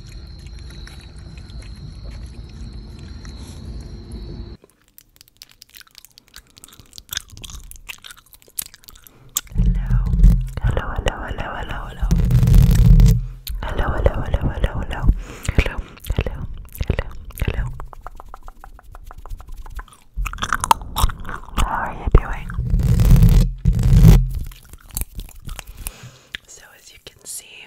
Hello. Hello, hello, hello, hello, hello. Hello, hello, hello, hello, hello. How are you doing? So as you can see,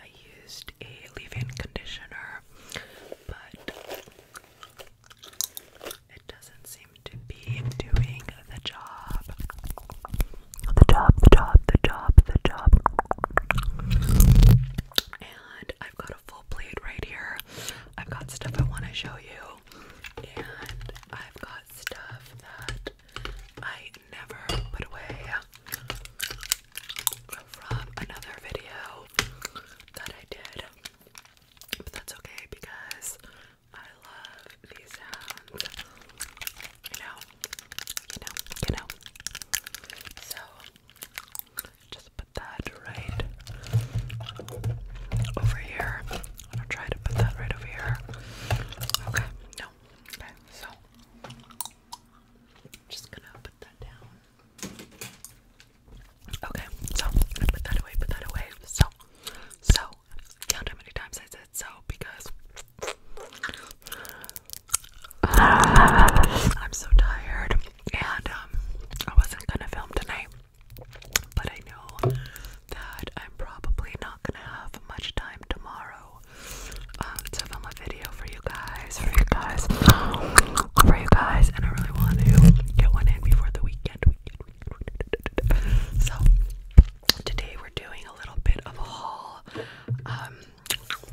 I used a leave-in conditioner, but it doesn't seem to be doing the job. The job, the job, the job, the job. And I've got a full plate right here. I've got stuff I want to show you, and I've got stuff that I never put away from another video that I did. But that's okay because I love these sounds. You know, you know, you know. So just put that right over here. I'm gonna try to put that right over here. Okay, Okay, so I'm just gonna put that down. Okay, so put that away, put that away. So, so count how many times I said so because I'm so tired and um I wasn't gonna film tonight. But I know that I'm probably not gonna have much time tomorrow to film a video for you guys, for you guys, for you guys, and I really want to get one in before the weekend. So today we're doing a little bit of a haul. Um,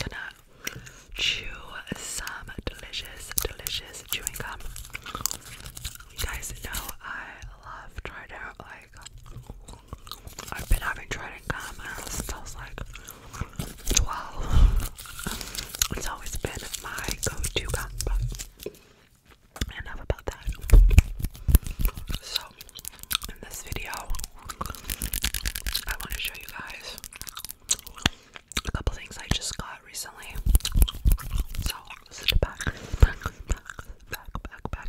gonna chew some delicious, delicious chewing gum. You guys know I love trying to I've been having trading comments since I was like 12. It's always been my go-to combo. Enough about that. So, in this video, I want to show you guys a couple things I just got recently. So, back, back, back, back, back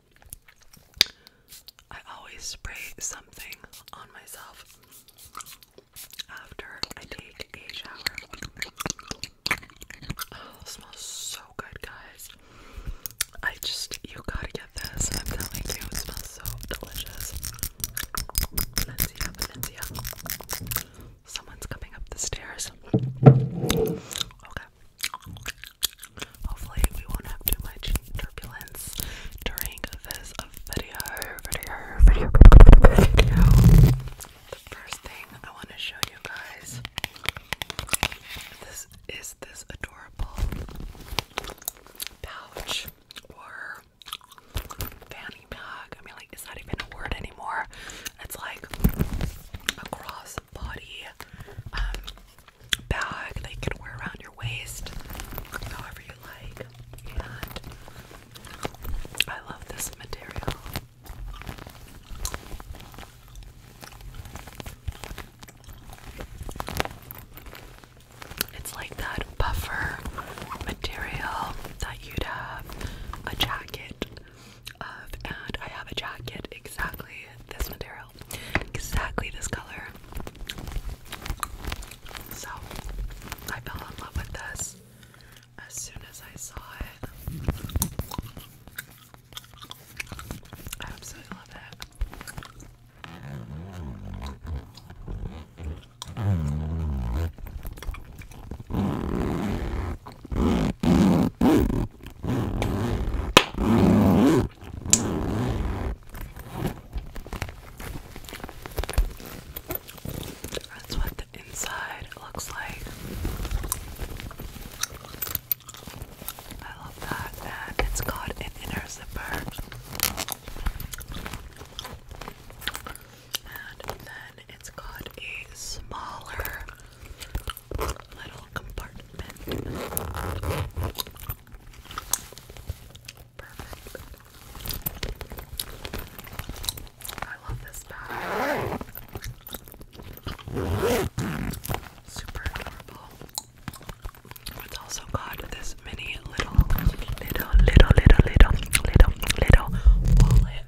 I always spray something on myself after I take a shower. Oh, smells so good, guys. I just, you gotta get this. I'm telling you, smells so delicious. Valencia, Valencia. Someone's coming up the stairs hopefully we won't have too much turbulence during this video, video, video, The first thing I want to show you guys this is this adorable pouch or fanny pack. I mean, like, it's not even a word anymore. It's like a cross body um, bag that can wear around your waist, however you like. And I love this material. It's like that buffer material that you'd have a jacket of, and I have a jacket exactly this material. Exactly this color. So I fell in love with this as soon as I saw it. I absolutely love it. That's what the inside looks like. I love that, and it's got an inner zipper. And then it's got a smaller little compartment. Perfect. I love this bag. Super adorable. It's also got this mini little, little, little, little, little, little, wallet.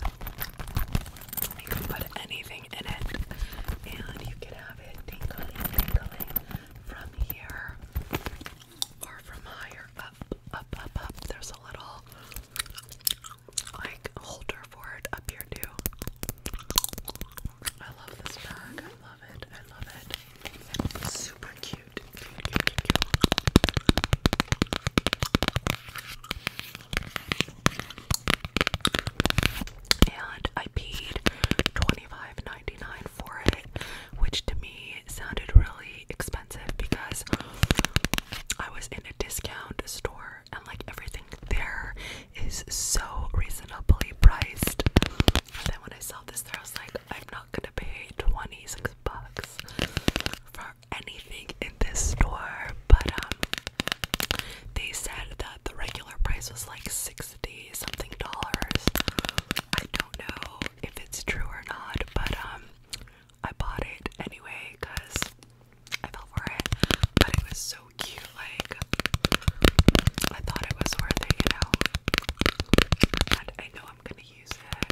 You can put anything in it, and you can have it tingling, tingling, from here or from higher up, up, up, up. There's a little like holder for up here too. I love this bag. I love it. I love it. super cute. And I paid 25 $9.99 for it, which to me sounded really expensive because I was in a discount store and like everything there is so reasonably priced. And then when I saw this there I was like, I'm not gonna pay 26 bucks for anything in this store, but um they said that the regular price was like $6 something dollars. I don't know if it's true or not, but um, I bought it anyway because I fell for it. But it was so cute, like I thought it was worth it, you know. And I know I'm gonna use it.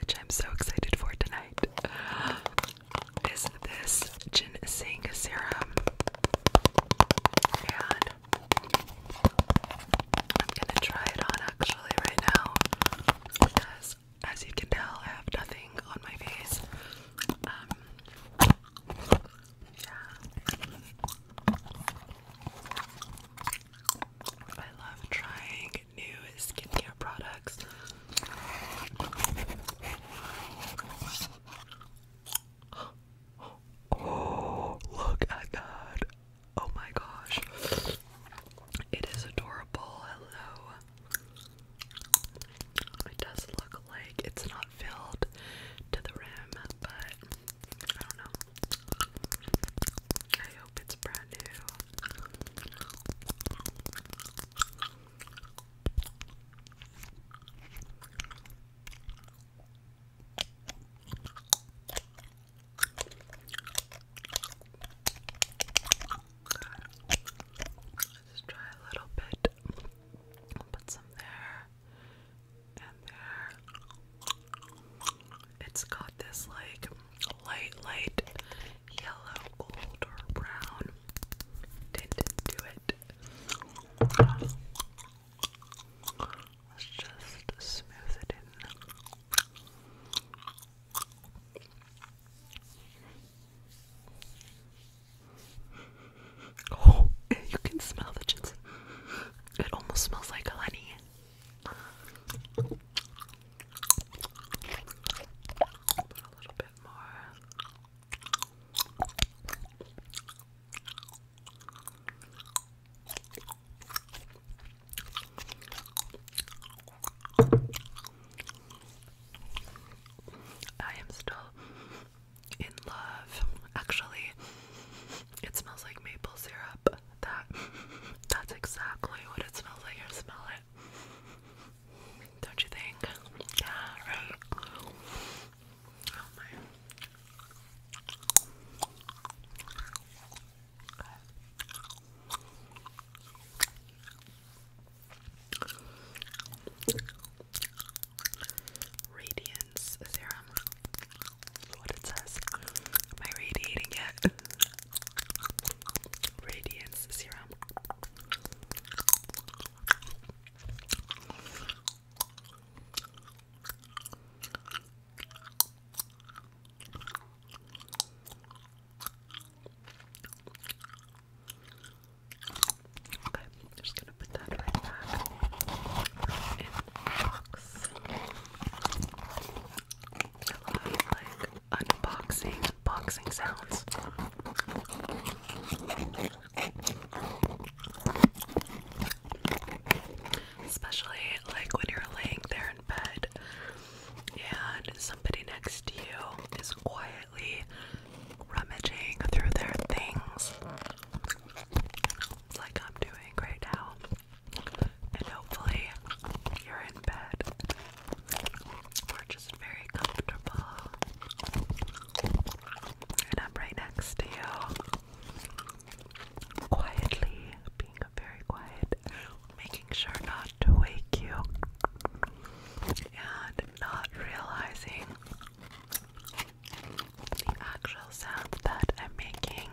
which I'm so excited for tonight, is this ginseng serum. I'm gonna try it on actually right now because, as you can tell, I have nothing on my face. Um, yeah. I love trying new skincare products. Oh, look at that! Oh my gosh. It is adorable. Hello. It does look like it's not filled to the rim, but I don't know. I hope it's brand new. Let's try a little bit. Put some there and there. It's got this like light, light yellow, gold, or brown tint to it. Let's just smooth it in. Oh, you can smell the ginseng. It almost smells like honey a little bit more. I am still in love. Actually, it smells like maple syrup. That that's exactly what it smells like. I smell it. Don't you think? Yeah, right. Oh, Radiance serum. what it says. Am I radiating yet? Radiance serum. Okay, just gonna put that right back in the box. I love like unboxing boxing sounds. Especially like when you're laying there in bed and somebody next to you is quietly rummaging through their things like I'm doing right now. And hopefully you're in bed we're just very comfortable. And I'm right next to you. Quietly, being very quiet, making sure not to wake you. And not realizing the actual sounds that I'm making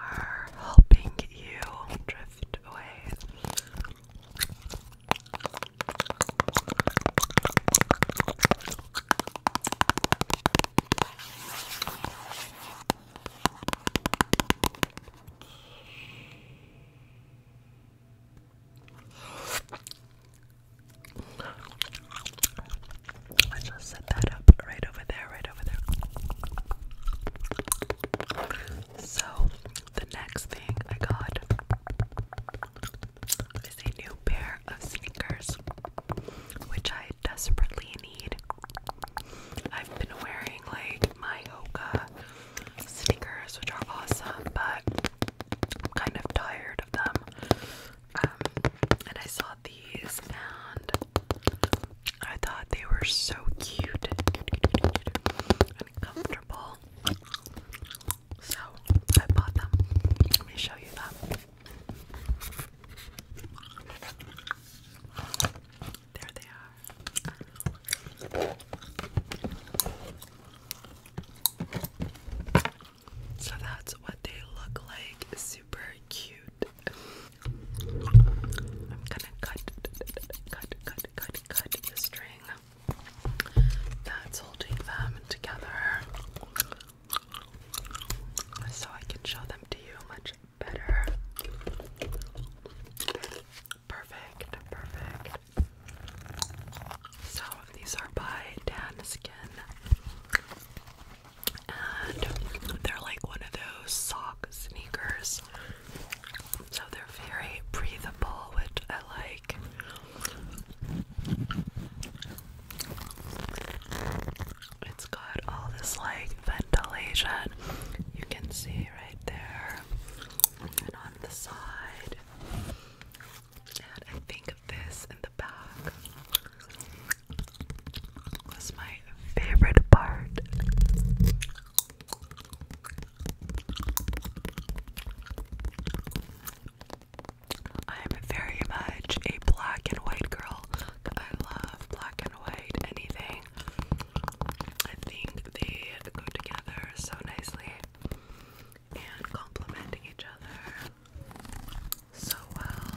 are helping you drift away. Let's just set that up right over there, right over there. So the next thing I got is a new pair of sneakers, which I desperately need. I've been wearing like my Hoka sneakers, which are awesome, but I'm kind of tired of them. Um, and I saw these and I thought they were so cute comfortable. So I bought them. Let me show you them. There they are. So that's what they look like. Super cute. I'm gonna cut, cut, cut, cut, cut the string that's holding them together so I can show them to you much better. Perfect, perfect. So these are by Dan And they're like one of those sock sneakers so they're very breathable, which I like. It's got all this like ventilation. You can see right there and on the side. And I think this in the back was my favorite part. I am very much a black and white girl. I love black and white anything. I think they go together so nicely and complementing each other so well.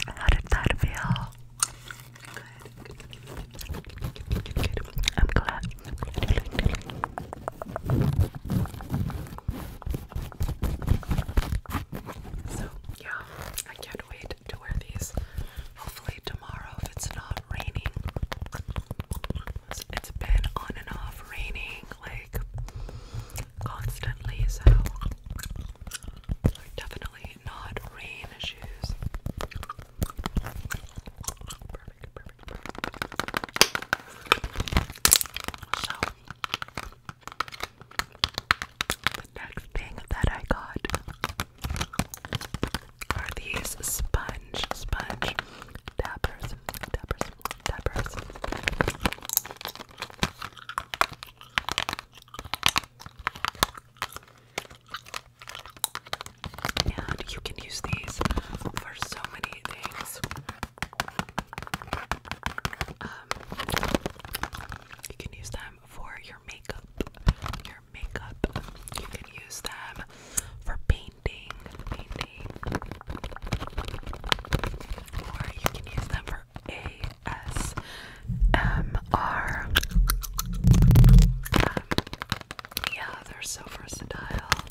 How did that feel? I'm glad. So, yeah, I can't wait to wear these. Hopefully tomorrow if it's not raining. It's been on and off raining like constantly, so definitely not rain shoes. Perfect, perfect, perfect. So the next thing that I got are these sponge, sponge dappers, dappers, dappers. And you can use these for so many things. Um, you can use them for your makeup, makeup. You can use them for painting, painting, or you can use them for ASMR. yeah, they're so versatile,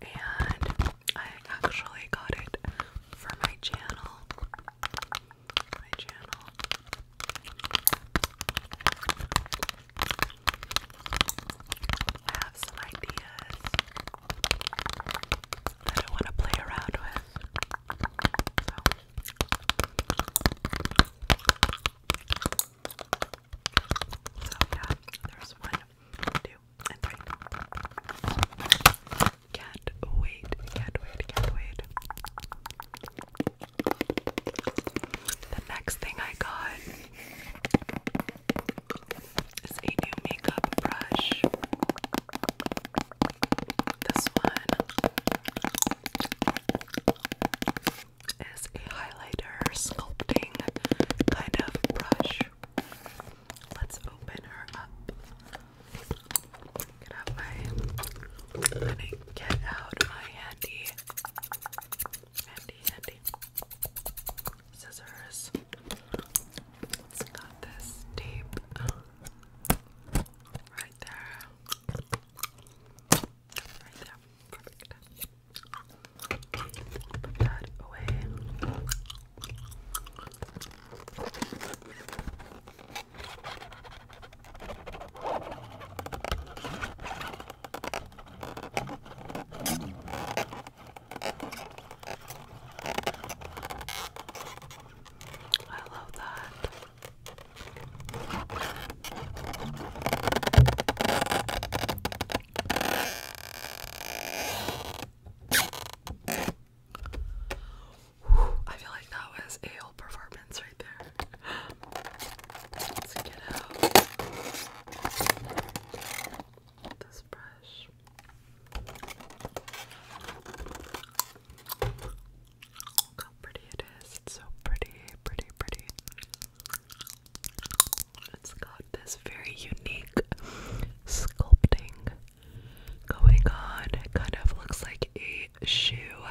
and I actually got it for my channel. My channel. I have some ideas that I want to play around with. So. yeah, there's one, two, and three. Can't wait, can't wait, can't wait. The next thing I got is a new makeup brush. This one is a highlighter sculpting kind of brush. Let's open her up. Get out my. I'm gonna get out my handy handy, handy scissors. It's this tape right there. Right there. Perfect. Put that away. I love that. I feel like that was a performance right there. Let's get out this brush. Look how pretty it is. It's so pretty, pretty, pretty. It's got this very unique sculpting going on. It kind of looks like a shoe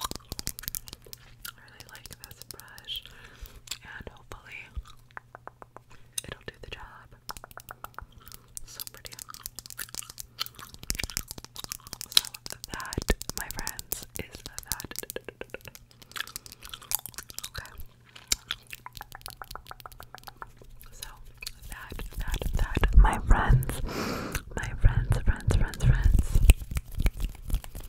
I really like this brush, and hopefully, it'll do the job. So pretty. So, that, my friends, is that. Okay. So, that, that, that, my friends, my friends, friends, friends, friends,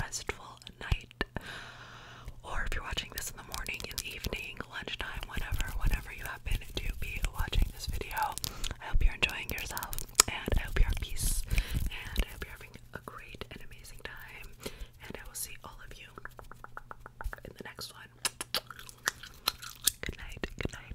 restful night. Or if you're watching this in the morning, in the evening, lunchtime, whenever, whenever you happen to be watching this video, I hope you're enjoying yourself and I hope you're at peace and I hope you're having a great and amazing time. And I will see all of you in the next one. Good night, good night.